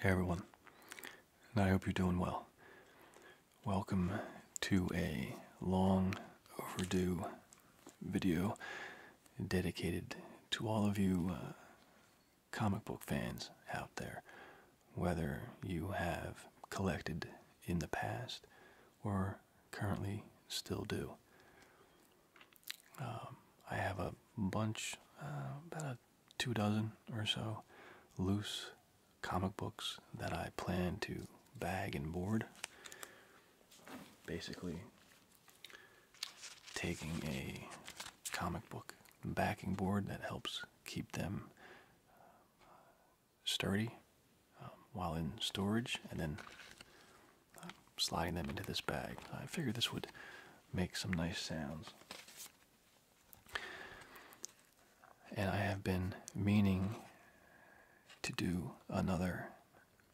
Hey everyone, I hope you're doing well. Welcome to a long overdue video dedicated to all of you uh, comic book fans out there, whether you have collected in the past or currently still do. Um, I have a bunch, uh, about a two dozen or so loose comic books that I plan to bag and board. Basically, taking a comic book backing board that helps keep them uh, sturdy um, while in storage and then uh, sliding them into this bag. I figured this would make some nice sounds. And I have been meaning to do another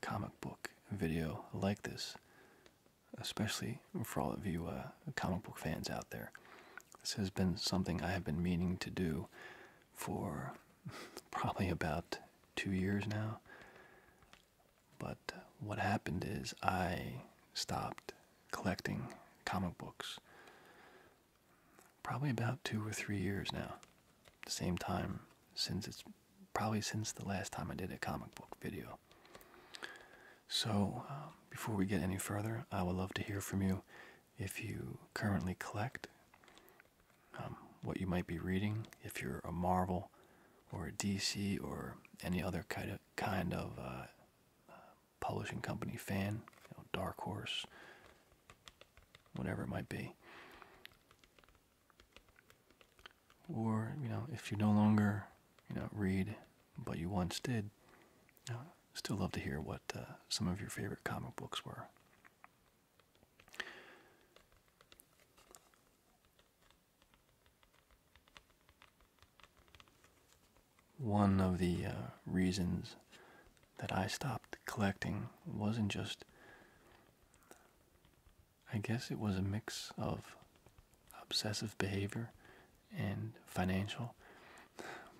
comic book video like this, especially for all of you uh, comic book fans out there. This has been something I have been meaning to do for probably about two years now. But what happened is I stopped collecting comic books probably about two or three years now. same time since it's probably since the last time I did a comic book video. So, um, before we get any further, I would love to hear from you if you currently collect, um, what you might be reading, if you're a Marvel or a DC or any other kind of, kind of uh, publishing company fan, Dark Horse, whatever it might be. Or, you know, if you no longer, you know, read but you once did, still love to hear what uh, some of your favorite comic books were. One of the uh, reasons that I stopped collecting wasn't just, I guess it was a mix of obsessive behavior and financial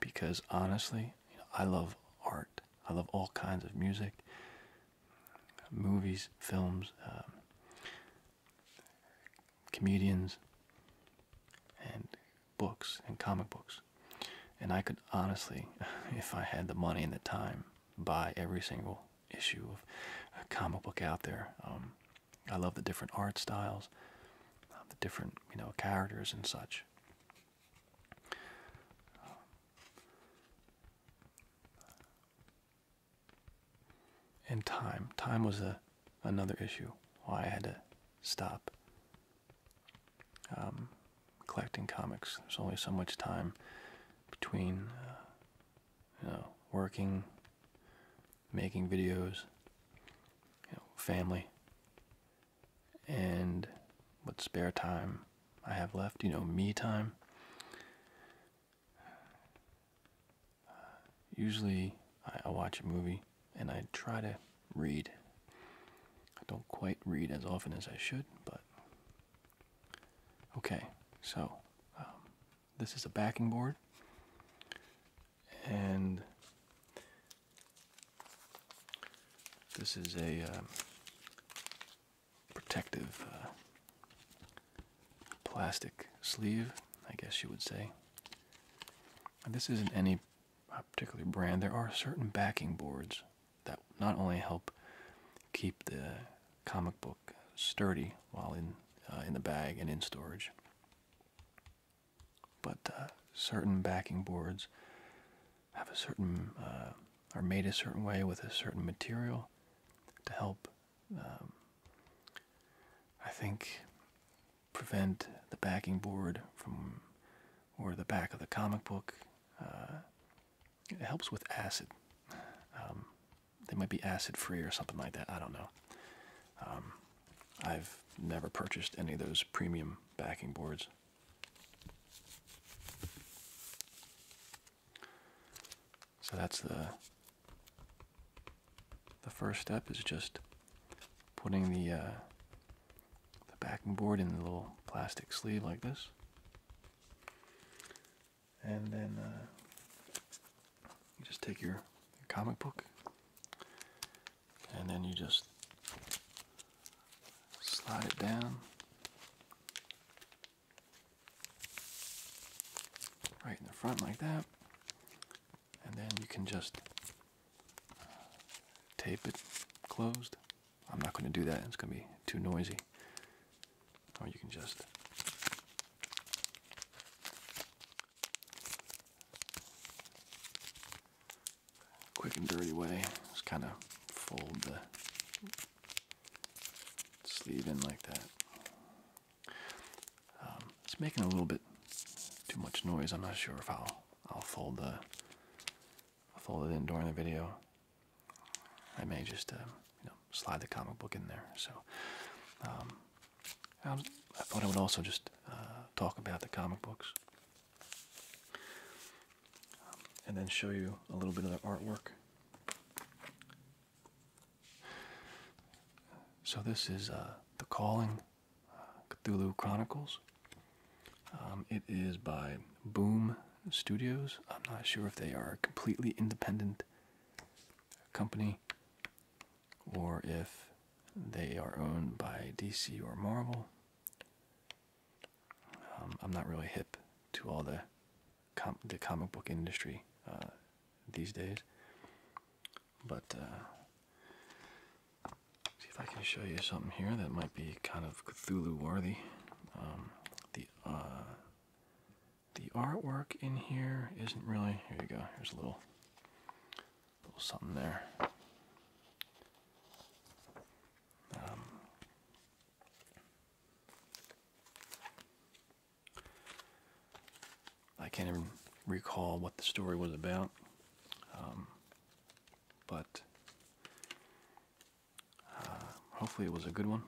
because honestly, I love art. I love all kinds of music, movies, films, um, comedians, and books and comic books. And I could honestly, if I had the money and the time, buy every single issue of a comic book out there. Um, I love the different art styles, um, the different you know characters and such. Um, and time, time was a another issue why I had to stop um, collecting comics. There's only so much time between, uh, you know, working, making videos, family, and what spare time I have left, you know, me time. Uh, usually, I, watch a movie and I try to read. I don't quite read as often as I should, but okay. So, um, this is a backing board, and this is a um, protective uh, plastic sleeve, I guess you would say this isn't any particular brand. There are certain backing boards that not only help keep the comic book sturdy while in uh, in the bag and in storage, but uh, certain backing boards have a certain uh, are made a certain way with a certain material to help. Um, I think prevent the backing board from or the back of the comic book. Uh, it helps with acid. Um, they might be acid free or something like that. I don't know. Um, I've never purchased any of those premium backing boards. So that's the the first step is just putting uh, the backing board in the little plastic sleeve like this, and then uh, you just take your comic book, and then you just slide it down right in the front like that, and then you can just tape it closed. I'm not going to do that, it's going to be too noisy. Or you can just quick and dirty way, just kind of fold the sleeve in like that. Um, it's making a little bit too much noise. I'm not sure if I'll I'll fold the fold it in during the video. I may just uh, you know slide the comic book in there. So um, I, thought I would also just uh, talk about the comic books um, and then show you a little bit of the artwork. So this is uh, the calling. Cthulhu Chronicles. Um, it is by Boom Studios. I'm not sure if they are a completely independent company or if they are owned by DC or Marvel. Um, I'm not really hip to all the the comic book industry uh, these days. But uh, see if I can show you something here that might be kind of Cthulhu worthy. Um, the uh, the artwork in here isn't really. Here you go. Here's a little little something there. Um, I can't even recall what the story was about. Um, but uh, hopefully it was a good one.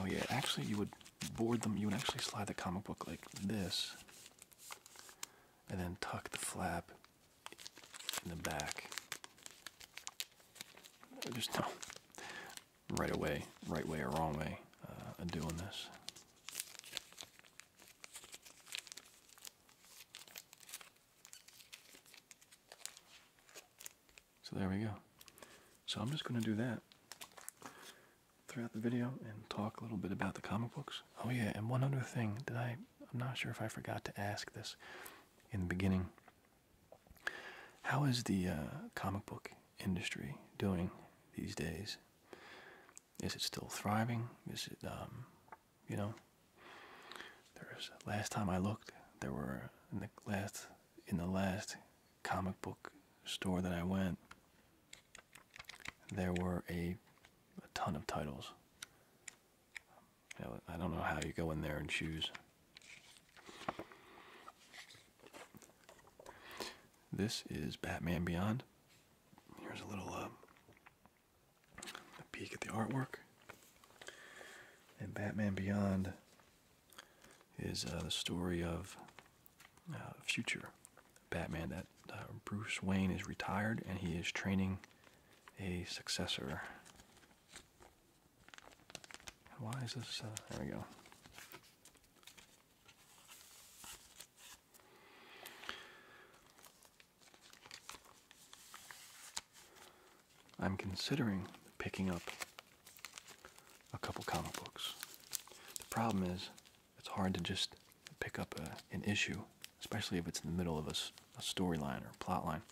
Oh yeah, actually you would board them, you would actually slide the comic book like this and then tuck the flap in the back. There's no right away, right way or wrong way uh, of doing this. So there we go. So I'm just going to do that throughout the video and talk a little bit about the comic books. Oh yeah, and one other thing Did I I'm not sure if I forgot to ask this in the beginning. How is the uh, comic book industry doing these days? Is it still thriving? Is it, um, you know, there's last time I looked, there were in the last in the last comic book store that I went, there were a, a ton of titles. I don't know how you go in there and choose. This is Batman Beyond. Here's a little uh, a peek at the artwork. And Batman Beyond is uh, the story of a uh, future Batman that Bruce Wayne is retired and he is training a successor. Why is this? there we go. I'm considering picking up a couple comic books. The problem is, it's hard to just pick up an issue, especially if it's in the middle of a, storyline or plot line.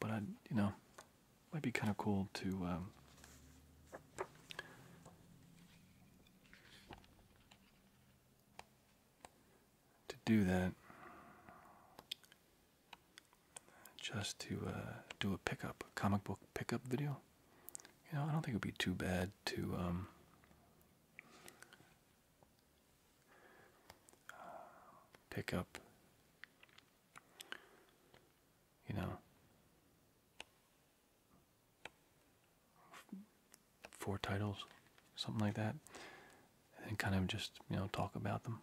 But I, you know, might be kind of cool to um, to do that just to uh, do a pickup, a comic book pickup video. You know, I don't think it would be too bad to um, pick up you know, 4 titles, something like that, and kind of just, you know, talk about them.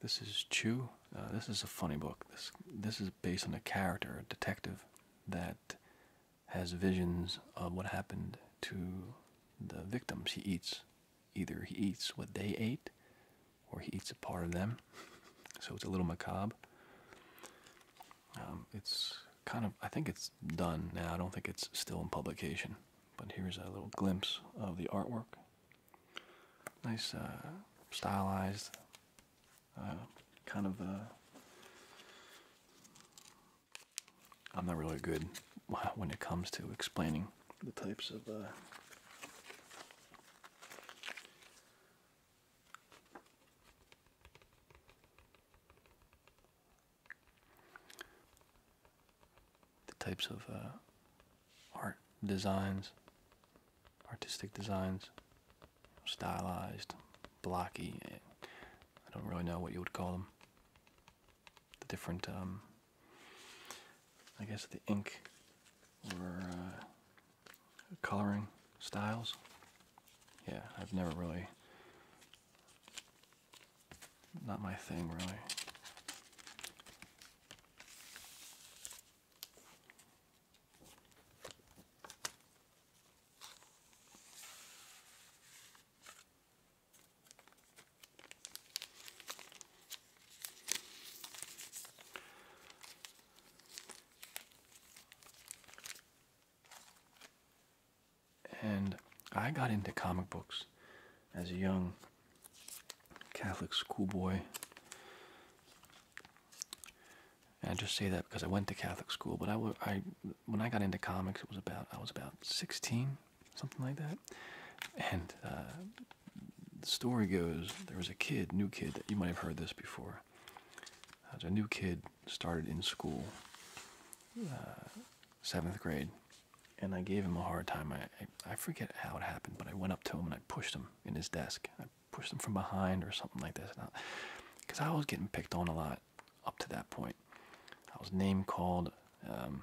This is Chew. Uh, this is a funny book. This this is based on a character, a detective, that has visions of what happened to the victims. He eats either he eats what they ate or he eats a part of them. so it's a little macabre. Um, it's kind of, I think it's done now. I don't think it's still in publication. But here's a little glimpse of the artwork. Nice uh, stylized, uh, kind of. Uh, I'm not really good when it comes to explaining the types of the types of uh, art designs, artistic designs, stylized, blocky, eh, I don't really know what you would call them. The different um, I guess the ink or uh, coloring styles. Yeah, I've never really. Not my thing, really. And I got into comic books as a young Catholic schoolboy. And I just say that because I went to Catholic school, but I, I when I got into comics, it was about I was about 16, something like that, and uh, the story goes there was a kid, new kid, that you might have heard this before. Uh, There's a new kid started in school, uh, seventh grade, and I gave him a hard time. I, I, forget how it happened, but I went up to him and I pushed him in his desk. I pushed him from behind or something like this. Because I, was getting picked on a lot up to that point. I was name called, um,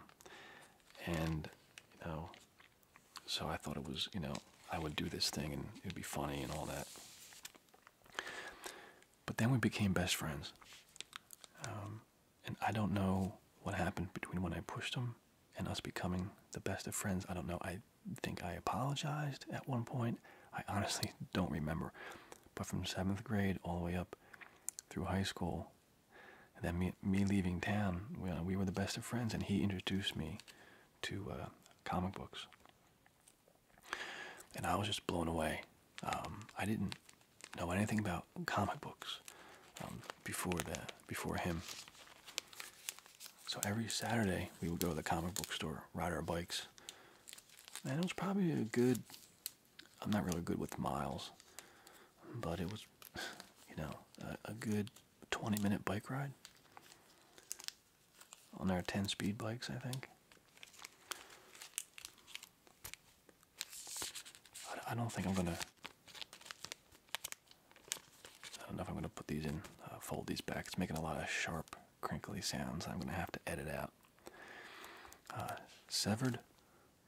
and, you know, so I thought it was, you know, I would do this thing and it'd be funny and all that. But then we became best friends. Um, and I don't know what happened between when I pushed him and us becoming the best of friends. I don't know. I think I apologized at one point. I honestly don't remember. But from seventh grade all the way up through high school, then me, leaving town, uh, we were the best of friends, and he introduced me to uh, comic books. And I was just blown away. Um, I didn't know anything about comic books um, before the before him. So every Saturday we would go to the comic book store, ride our bikes, and it was probably a good. I'm not really good with miles, but it was, you know, a good 20 minute bike ride on our 10 speed bikes, I think. I don't think I'm gonna. I don't know if I'm gonna put these in, uh, fold these back. It's making a lot of sharp, crinkly sounds. I'm gonna have to edit out. Uh, Severed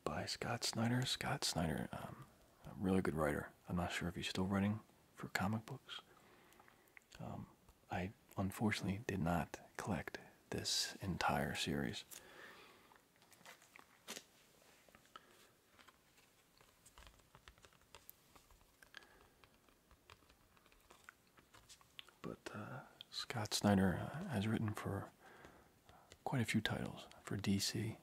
by Scott Snyder. Scott Snyder, um, a really good writer. I'm not sure if he's still writing for comic books. Um, I unfortunately did not collect this entire series. But uh, Scott Snyder uh, has written for quite a few titles for DC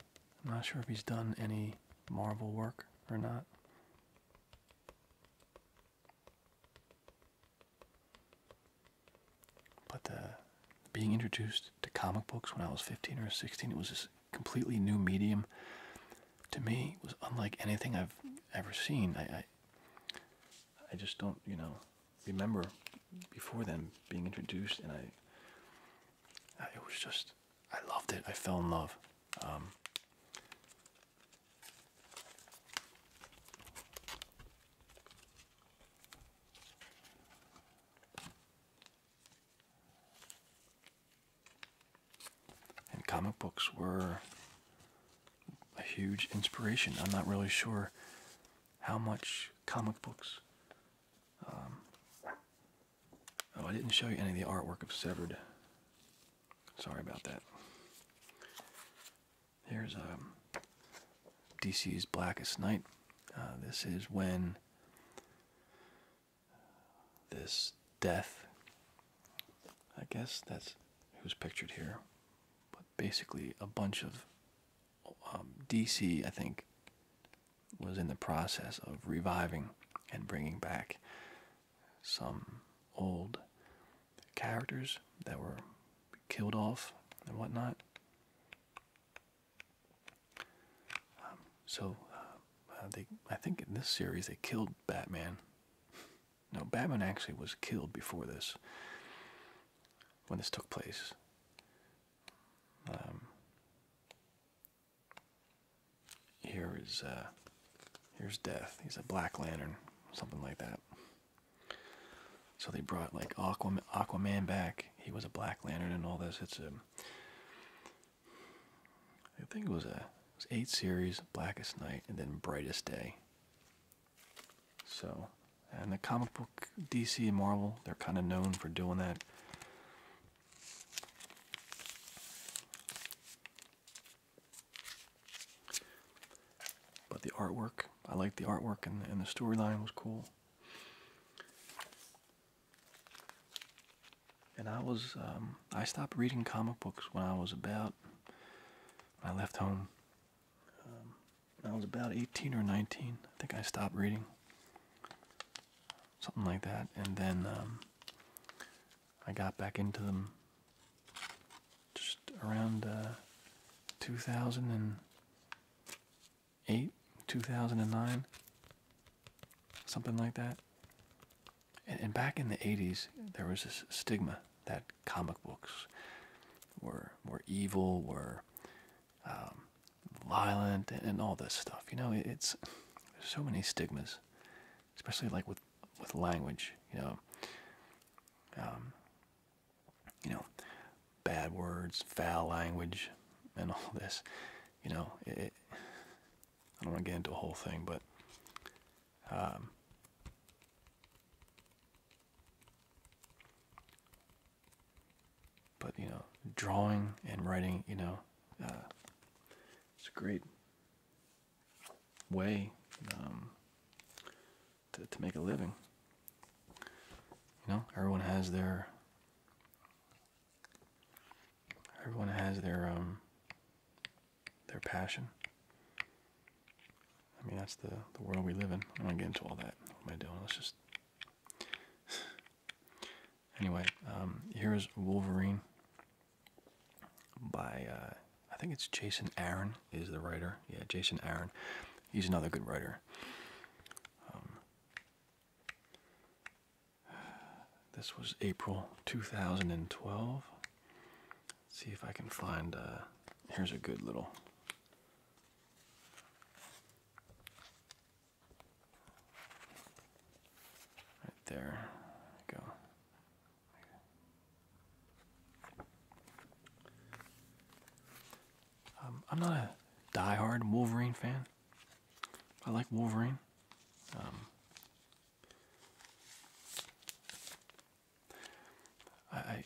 I'm not sure if he's done any Marvel work or not. But uh, being introduced to comic books when I was 15 or 16, it was this completely new medium to me. It was unlike anything I've ever seen. I, I, just don't, you know, remember before then being introduced, and I it was just I loved it. I fell in love. Um, and comic books were a huge inspiration. I'm not really sure how much comic books um, Oh, I didn't show you any of the artwork of Severed. Sorry about that. Here's um, DC's Blackest Night. Uh, this is when this death, I guess that's who's pictured here, but basically a bunch of um, DC, I think, was in the process of reviving and bringing back some old characters that were killed off and whatnot. Um, so uh, uh, they, I think in this series they killed Batman. No, Batman actually was killed before this, when this took place. Um, here is uh, here's Death. He's a Black Lantern, something like that. So they brought like Aquaman, back. He was a Black Lantern and all this. It's a I think it was a it was eight series, Blackest Night, and then Brightest Day. So, and the comic book DC and Marvel, they're kind of known for doing that. But the artwork, I liked the artwork and, and the storyline was cool. And I was, um, I stopped reading comic books when I was about, I left home. Um, I was about 18 or 19. I think I stopped reading. Something like that. And then um, I got back into them just around uh, 2008, 2009, something like that. And, back in the 80s, there was this stigma that comic books were were evil, were um, violent, and, all this stuff. You know, it's there's so many stigmas especially like with with language, you know, um, you know, bad words, foul language, and all this, you know. I don't want to get into a whole thing, but um, but you know, drawing and writing, you know, uh, it's a great way um, to to make a living. You know, everyone has their everyone has their um, their passion. I mean that's the the world we live in. I don't want to get into all that. What am I doing? Let's just Anyway, um, here's Wolverine by uh, I think it's Jason Aaron is the writer. Yeah, Jason Aaron. He's another good writer. Um, this was April 2012. see if I can find. Uh, here's a good little. Right there. go. Um, I'm not a die-hard Wolverine fan. I like Wolverine. Um, I I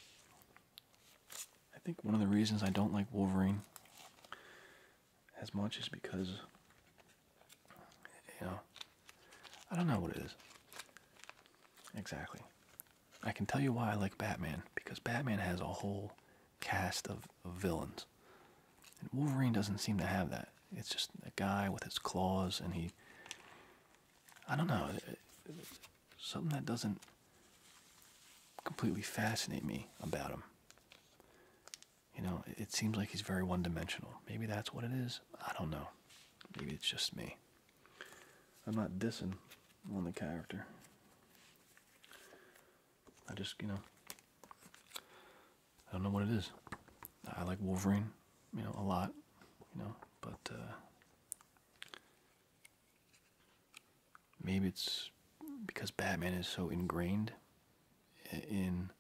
think one of the reasons I don't like Wolverine as much as because you know I don't know what it is exactly. I can tell you why I like Batman because Batman has a whole cast of, villains, and Wolverine doesn't seem to have that. It's just a guy with his claws, and he I don't know something that doesn't completely fascinate me about him. You know, it seems like he's very one dimensional. Maybe that's what it is. I don't know. Maybe it's just me. I'm not dissing on the character. I just, you know, I don't know what it is. I like Wolverine, you know, a lot, you know, but uh, maybe it's because Batman is so ingrained in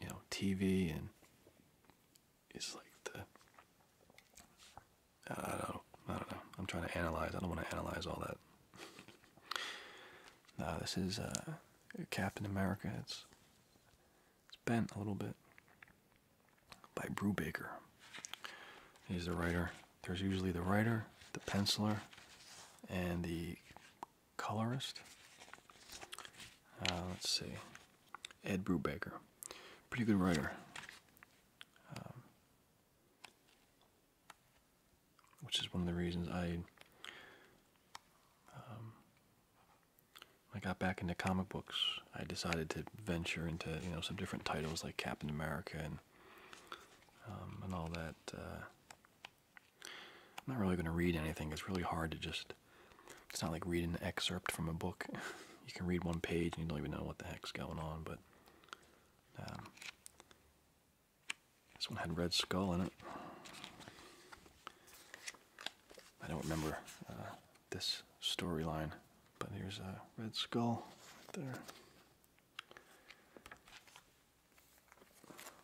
you know TV and it's like the I don't know, I don't know. I'm trying to analyze. I don't want to analyze all that. no, this is uh, Captain America. It's it's bent a little bit by Brubaker. He's the writer. There's usually the writer, the penciler, and the colorist. Uh, let's see, Ed Brubaker, pretty good writer. Um, which is one of the reasons I um, I got back into comic books. I decided to venture into you know some different titles like Captain America and um, and all that uh, I'm not really going to read anything. It's really hard to just. It's not like reading an excerpt from a book. you can read one page and you don't even know what the heck's going on, but. Um, this one had Red Skull in it. I don't remember uh, this storyline, but here's a uh, Red Skull right there.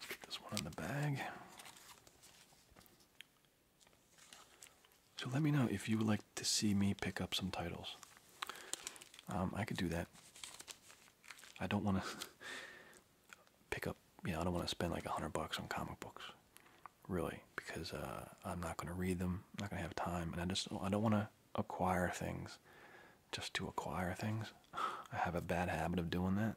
Get one in the bag. So let me know if you would like to see me pick up some titles. Um, I could do that. I don't want to pick up, you know, I don't want to spend like a hundred bucks on comic books, really, because uh, I'm not going to read them. I'm not going to have time, and I just I don't want to acquire things just to acquire things. I have a bad habit of doing that.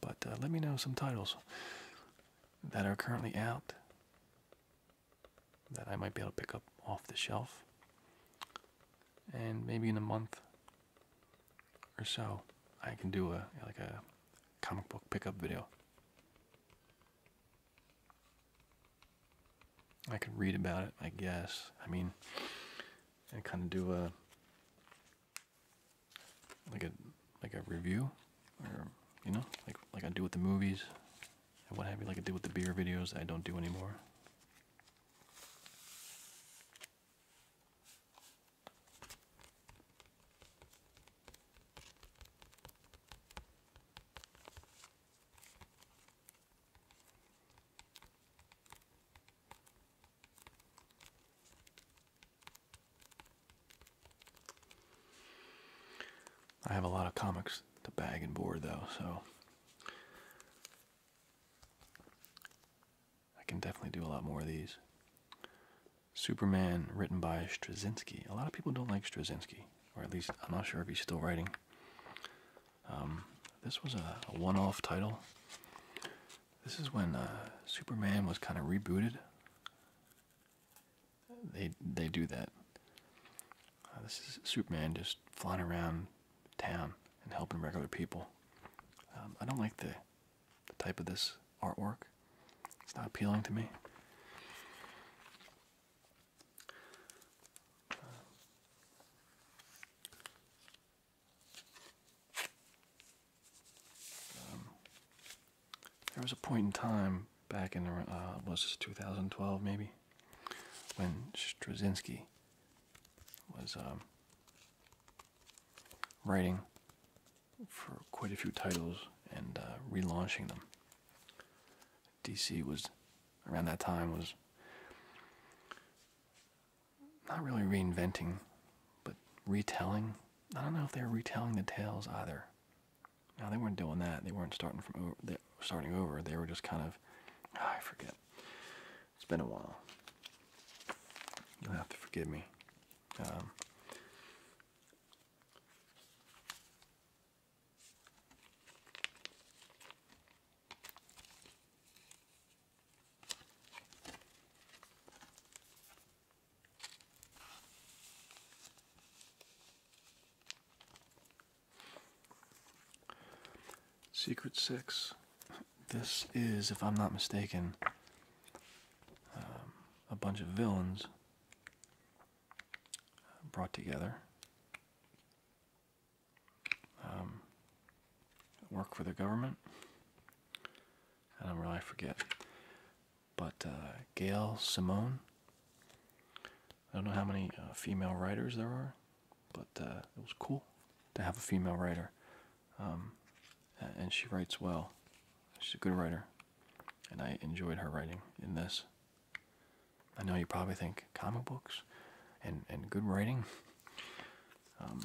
But uh, let me know some titles that are currently out that I might be able to pick up off the shelf. And maybe in a month or so, I can do a like a comic book pickup video. I could read about it, I guess. I mean, and kind of do a like a like a review, or you know, like like I do with the movies and what have you, like I do with the beer videos I don't do anymore. I have a lot of comics to bag and board though, so I can definitely do a lot more of these. Superman, written by Straczynski. A lot of people don't like Straczynski, or at least I'm not sure if he's still writing. Um, this was a, one off title. This is when uh, Superman was kind of rebooted. They they do that. Uh, this is Superman just flying around town and helping regular people. Um, I don't like the, the type of this artwork. It's not appealing to me. Um, there was a point in time back in uh, was this 2012 maybe when Straczynski was um, writing for quite a few titles and uh, relaunching them DC was around that time was not really reinventing, but retelling. I don't know if they were retelling the tales either. No, they weren't doing that. They weren't starting from over. They, starting over. They were just kind of. Ah, I forget. It's been a while. You'll have to forgive me. Um, Secret Six. This is, if I'm not mistaken, um, a bunch of villains brought together um, work for the government. I don't really forget. But uh, Gail Simone. I don't know how many uh, female writers there are, but uh, it was cool to have a female writer. Um, and she writes well. She's a good writer. And I enjoyed her writing in this. I know you probably think comic books and, and good writing. Um,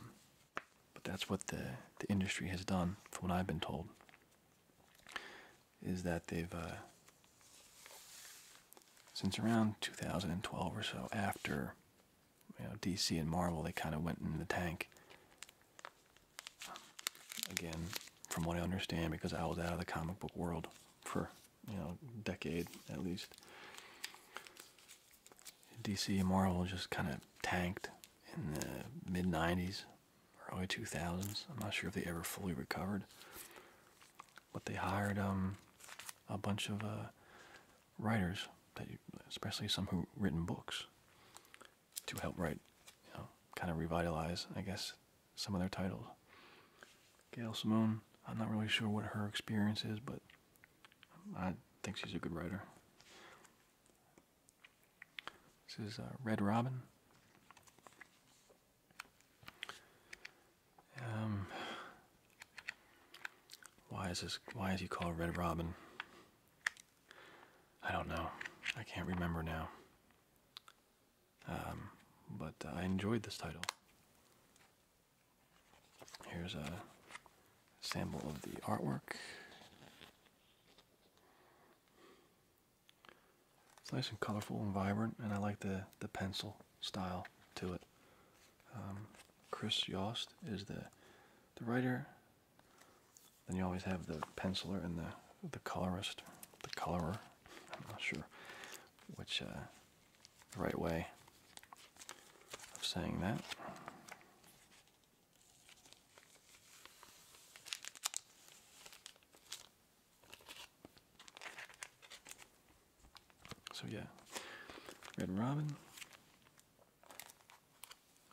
but that's what the, the industry has done, from what I've been told, is that they've, uh, since around 2012 or so, after you know, DC and Marvel, they kind of went in the tank. again, from what I understand, because I was out of the comic book world for you know decade at least. DC Marvel just kind of tanked in the mid '90s, early 2000s. I'm not sure if they ever fully recovered, but they hired um a bunch of uh, writers that, especially some who written books, to help write, you know, kind of revitalize, I guess, some of their titles. Gail Simone. I'm not really sure what her experience is, but I think she's a good writer. This is uh, Red Robin. Um, why is this? Why is he called Red Robin? I don't know. I can't remember now. Um, but uh, I enjoyed this title. Here's a sample of the artwork. It's nice and colorful and vibrant, and I like the the pencil style to it. Um, Chris Yost is the the writer. Then you always have the penciler and the the colorist, the colorer. I'm not sure which uh, the right way of saying that. So, yeah, Red Robin.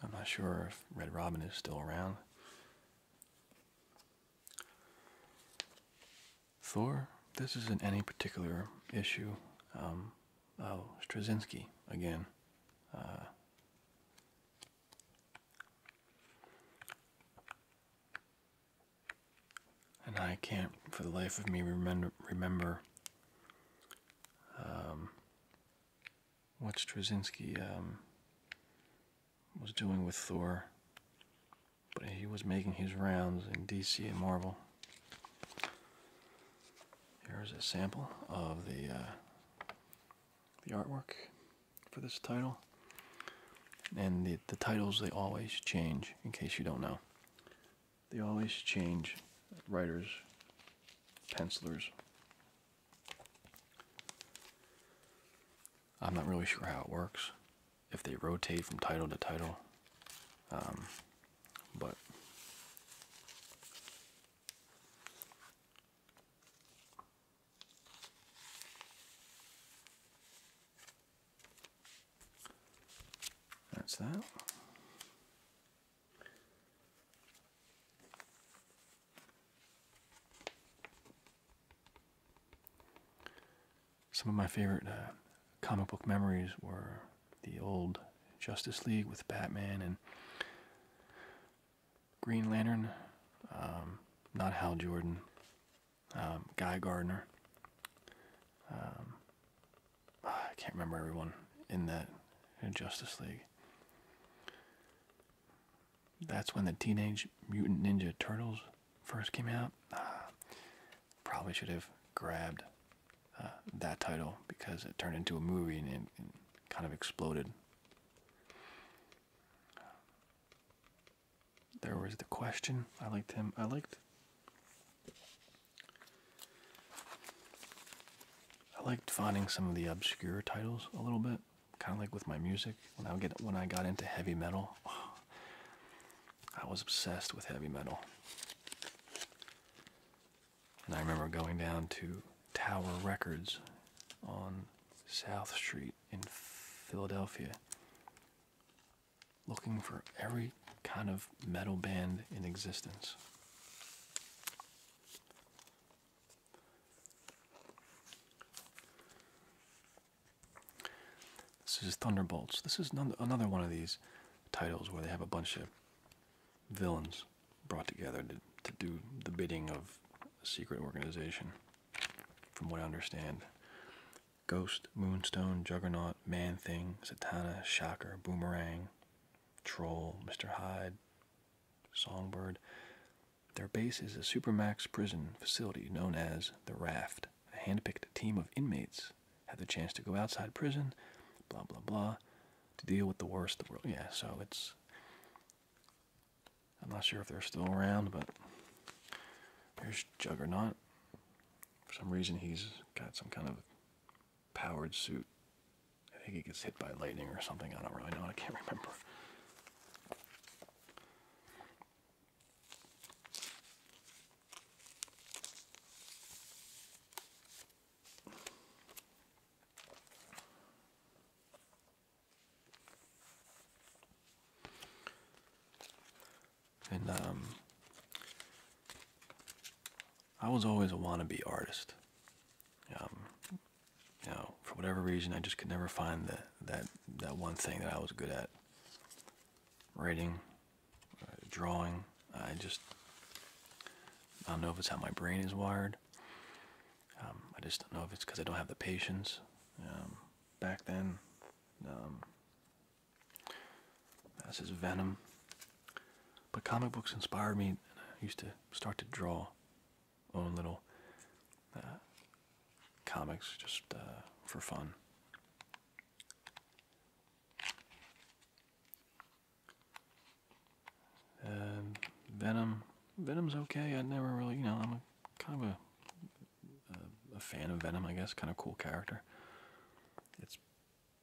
I'm not sure if Red Robin is still around. Thor, this isn't any particular issue. Um, oh, Straczynski again. Uh, and I can't, for the life of me, remember, remember um, what Straczynski um, was doing with Thor. But he was making his rounds in DC and Marvel. Here's a sample of the uh, the artwork for this title, and the the titles they always change. In case you don't know, they always change writers, pencillers. I'm not really sure how it works. If they rotate from title to title, um, but that's that. Some of my favorite uh, comic book memories were the old Justice League with Batman and Green Lantern, um, not Hal Jordan, um, Guy Gardner. Um, I can't remember everyone in that Justice League. That's when the Teenage Mutant Ninja Turtles first came out. Ah, probably should have grabbed uh, that title because it turned into a movie and, it, kind of exploded. There was the question. I liked him. I liked. I liked finding some of the obscure titles a little bit, kind of like with my music. When I get when I got into heavy metal, I was obsessed with heavy metal. And I remember going down to Tower Records on South Street in Philadelphia looking for every kind of metal band in existence. This is Thunderbolts. This is another one of these titles where they have a bunch of villains brought together to, to do the bidding of a secret organization, from what I understand. Ghost, Moonstone, Juggernaut, Man Thing, Satana, Shocker, Boomerang, Troll, Mr. Hyde, Songbird. Their base is a supermax prison facility known as the Raft, a handpicked team of inmates X had the chance to go outside prison, blah blah blah, to deal with the worst of the world. Yeah, so it's. I'm not sure if they're still around, but there's Juggernaut. For some reason, he's got some kind of powered suit. I think he gets hit by lightning or something. I don't really know. I can't remember. And um, I was always a wannabe artist. Um, you know, for whatever reason, I just could never find that that that one thing that I was good at. Writing, uh, drawing. I just I don't know if it's how my brain is wired. Um, I just don't know if it's because I don't have the patience. Um, back then, um, that's his Venom. But comic books inspired me. I used to start to draw own little uh, comics just uh, for fun. Um, Venom. Venom's okay. I never really, you know, I'm kind of a, fan of Venom, I guess. Kind of cool character. It's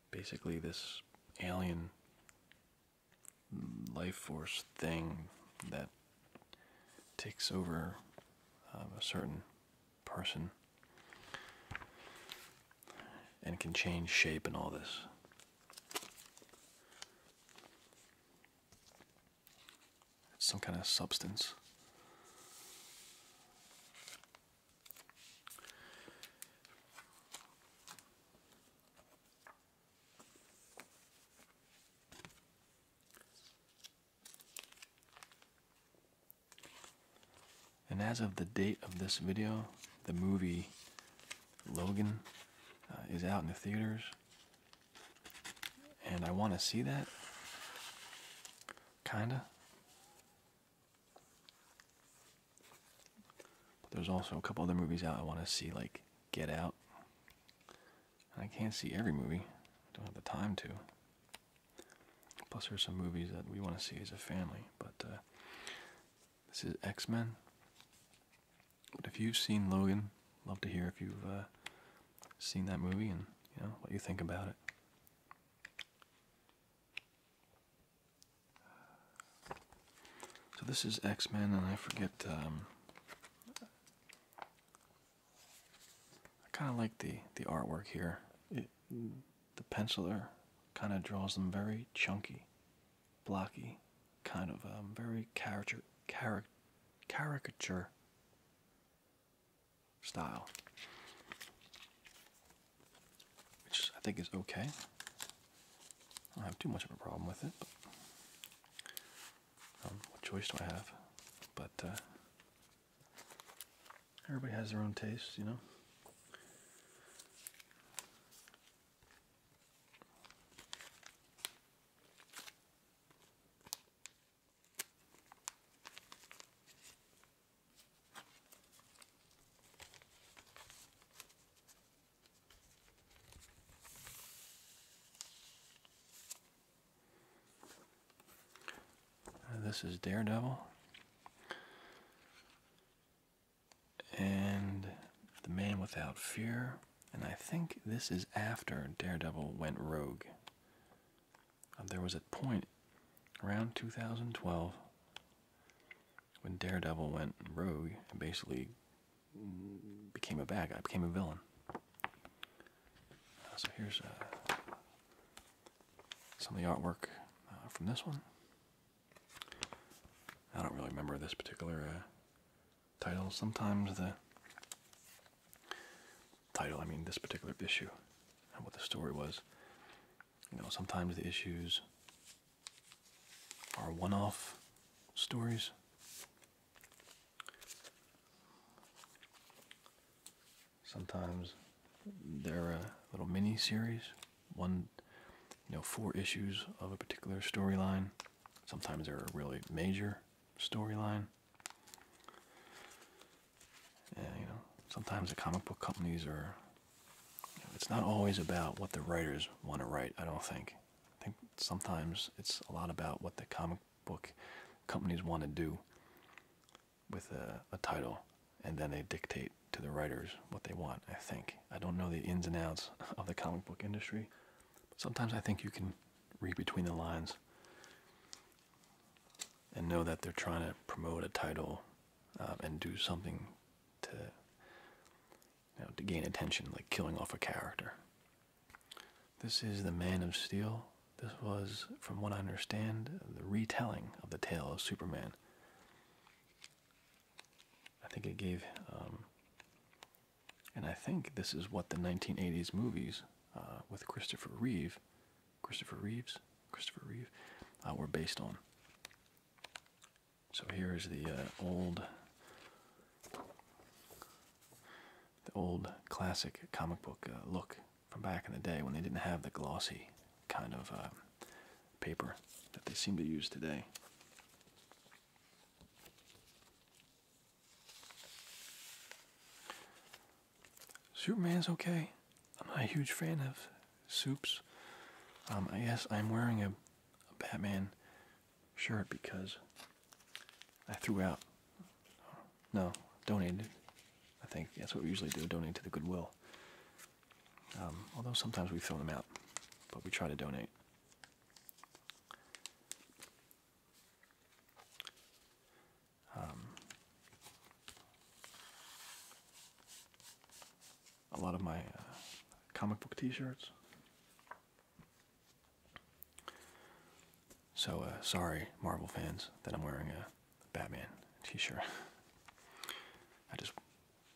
basically this alien life force thing that takes over um, a certain person and can change shape and all this. It's some kind of substance. And as of the date of this video, the movie Logan uh, is out in the theaters. And I want to see that. Kinda. But there's also a couple other movies out I want to see, like Get Out. I can't see every movie, I don't have the time to. Plus, there's some movies that we want to see as a family, but uh, this is X Men. But if you've seen Logan, love to hear if you've uh, seen that movie and you know what you think about it. So this is X Men, and I forget. Um, I kind of like the the artwork here. Mm, the penciler kind of draws them very chunky, blocky, kind of a um, very character caricature style, which I think is okay. I don't have too much of a problem with it. Um, what choice do I have? But uh, Everybody has their own tastes, you know. Uh, this is Daredevil and The Man Without Fear. And I think this is after Daredevil went rogue. Uh, there was a point around 2012 when Daredevil went rogue and basically became a bad guy, became a villain. Uh, so here's uh, some of the artwork from this one. I don't really remember this particular uh, title. Sometimes the title, I mean this particular issue, and what the story was. You know, sometimes the issues are one off stories. Sometimes they're a little mini series, one you know four issues of a particular storyline. Sometimes they're a really major storyline. you know, sometimes the comic book companies are. it's not always about what the writers want to write. I don't think. I think sometimes it's a lot about what the comic book companies want to do with a title and then they dictate to the writers what they want, I think. I don't know the ins and outs of the comic book industry, but sometimes I think you can read between the lines and know that they're trying to promote a title um, and do something to you know, to gain attention, like killing off a character. This is The Man of Steel. This was, from what I understand, the retelling of the tale of Superman. I think it gave, um, and I think this is what the 1980s movies uh, with Christopher Reeve, Christopher Reeves, Christopher Reeve, uh, were based on. So here is the uh, old, the old classic comic book look from back in the day when they didn't have the glossy kind of paper that they seem to use today. Superman's okay. I'm not a huge fan of soups. Um, I guess I'm wearing a, a Batman shirt because I threw out. No, donated. I think that's what we usually do donate to the Goodwill. Um, although sometimes we throw them out, but we try to donate. Um, a lot of my uh, comic book T-shirts. So uh, sorry, Marvel fans, that I'm wearing a Batman T-shirt. I just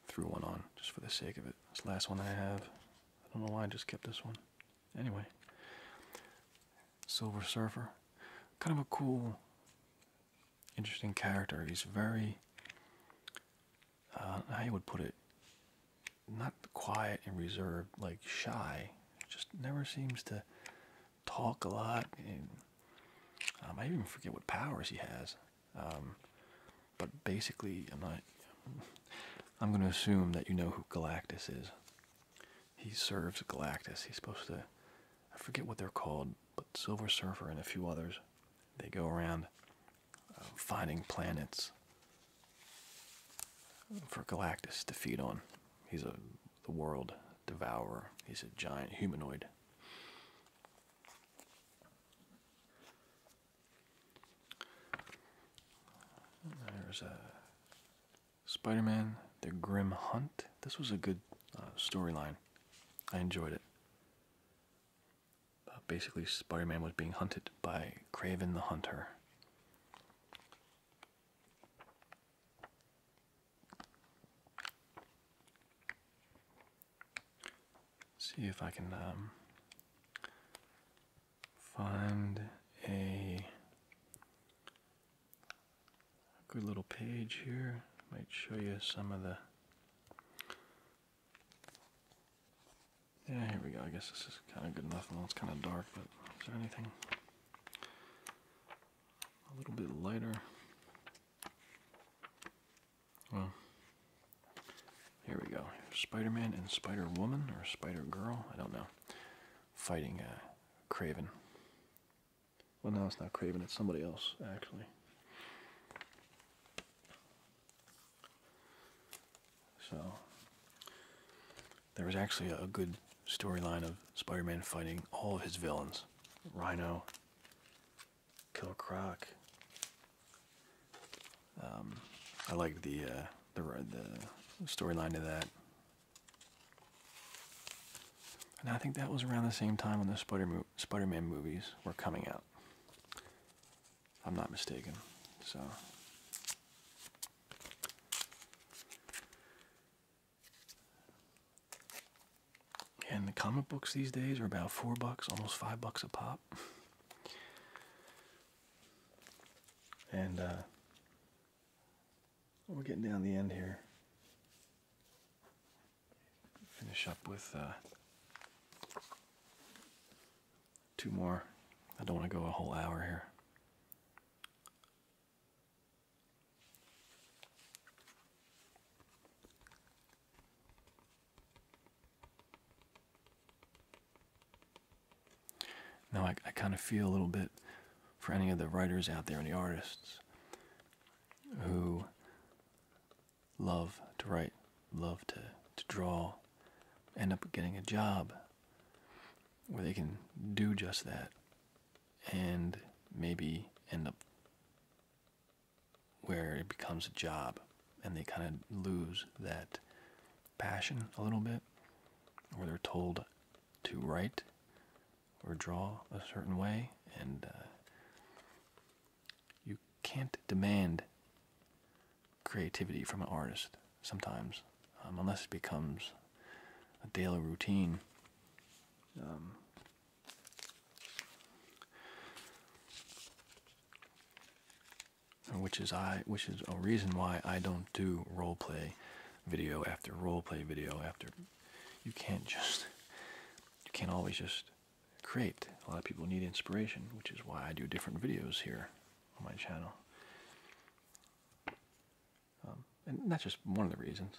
threw one on just for the sake of it. This last one I have. I don't know why I just kept this one. Anyway, Silver Surfer. Kind of a cool, interesting character. He's very, uh, how you would put it, not quiet and reserved, like shy. Just never seems to talk a lot. And, um, I even forget what powers he has. Um, but basically, I'm I'm going to assume that you know who Galactus is. He serves Galactus. He's supposed to. I forget what they're called, but Silver Surfer and a few others. They go around uh, finding planets for Galactus to feed on. He's a the world devourer. He's a giant humanoid. There's a Spider-Man: The Grim Hunt. This was a good uh, storyline. I enjoyed it. Uh, basically, Spider-Man was being hunted by Craven the Hunter see if I can um, find a good little page here. Might show you some of the. Yeah, here we go. I guess this is kind of good enough. Well, it's kind of dark, but is there anything a little bit lighter? Well, here we go. Spider-Man and Spider-Woman or Spider-Girl, I don't know. Fighting a uh, Craven. Well, no, it's not Craven. It's somebody else, actually. So there was actually a good storyline of Spider-Man fighting all of his villains: Rhino, Kill Croc. Um, I like the uh, the the storyline to that. And I think that was around the same time when the Spider Spider-Man movies were coming out. I'm not mistaken. So. And the comic books these days are about four bucks, almost five bucks a pop. and uh, we're getting down the end here. Finish up with uh, two more. I don't want to go a whole hour here. Now, I, I kind of feel a little bit for any of the writers out there any artists who love to write, love to, to draw, end up getting a job where they can do just that and maybe end up where it becomes a job and they kind of lose that passion a little bit, or they're told to write or draw a certain way, and uh, you can't demand creativity from an artist sometimes, um, unless it becomes a daily routine. Um, which is I, which is a reason why I don't do role play video after role play video after. You can't just, you can't always just create. A lot of people need inspiration, which is why I do different videos here on my channel. Um, and that's just one of the reasons.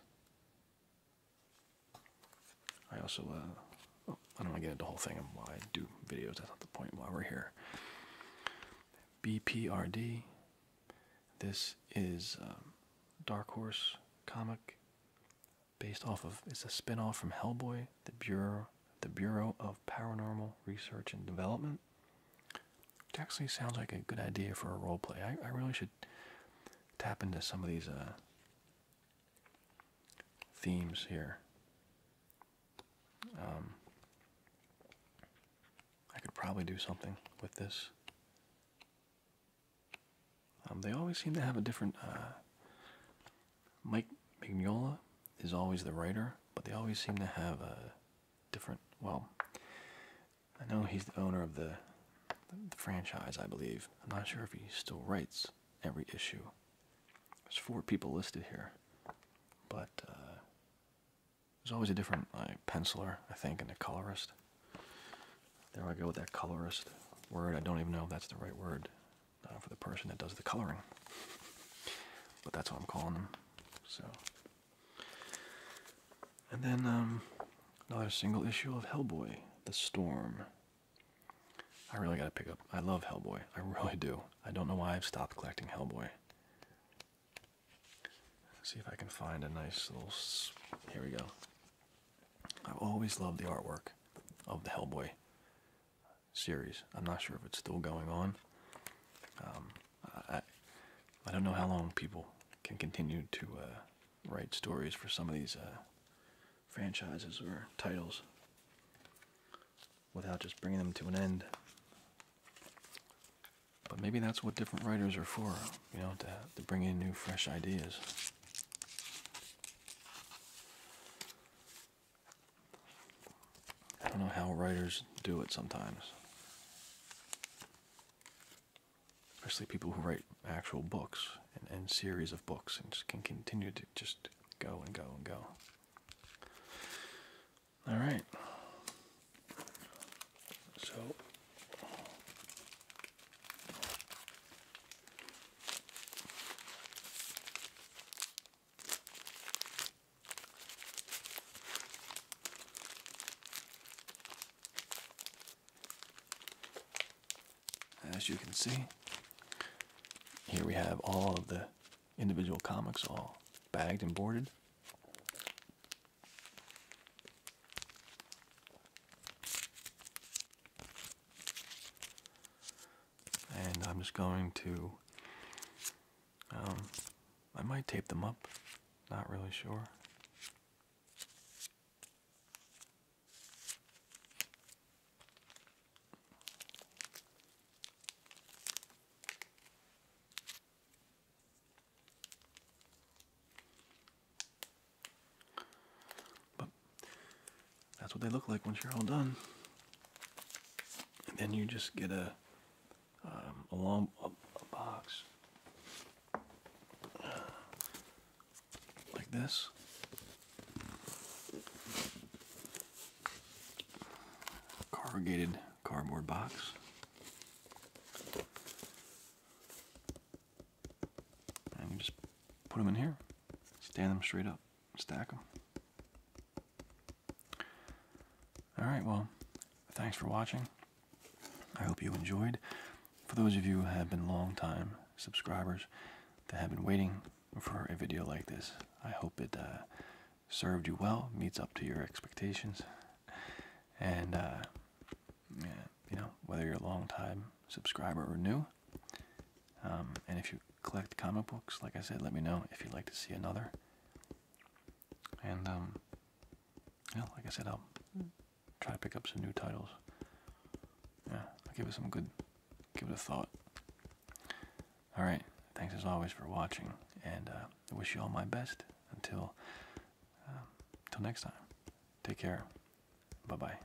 I also, uh, oh, I don't want to get into the whole thing of why I do videos. That's not the point While we're here. BPRD. This is um, Dark Horse comic based off of. It's a spin-off from Hellboy, the Bureau, the Bureau of Paranormal Research and Development. Which actually sounds like a good idea for a role play. I, I really should tap into some of these uh, themes here. Um, I could probably do something with this. Um, they always seem to have a different. Uh, Mike Mignola is always the writer, but they always seem to have a different. Well, I know he's the owner of the franchise, I believe. I'm not sure if he still writes every issue. There's four people listed here, but uh, there's always a different penciler, I think, and a colorist. There I go with that colorist word. I don't even know if that's the right word uh, for the person that does the coloring, but that's what I'm calling them. So, and then um, another single issue of Hellboy: The Storm. I really gotta pick up. I love Hellboy. I really do. I don't know why I've stopped collecting Hellboy. Let's see if I can find a nice little. Here we go. I've always loved the artwork of the Hellboy series. I'm not sure if it's still going on. Um, I, don't know how long people can continue to uh, write stories for some of these uh, franchises or titles without just bringing them to an end. But maybe that's what different writers are for, you know, to, to bring in new, fresh ideas. I don't know how writers do it sometimes. Especially people who write actual books and, and series of books and just can continue to just go and go and go. All right. So as you can see, here we have all of the individual comics all bagged and boarded. And I'm just going to, um, I might tape them up, not really sure. But that's what they look like once you're all done. And then you just get a um, a long a, box uh, like this Corrugated cardboard box. And you just put them in here, stand them straight up, stack them. Alright, well, thanks for watching. I hope you enjoyed. For those of you who have been long time subscribers that have been waiting for a video like this. I hope it uh, served you well, meets up to your expectations, and uh, you know whether you're a long-time subscriber or new. Um, and if you collect comic books, like I said, let me know if you'd like to see another. And um, yeah, like I said, I'll try to pick up some new titles. Yeah, give it some good, give it a thought. All right. Thanks as always for watching, and uh, I wish you all my best until until um, next time. Take care. Bye bye.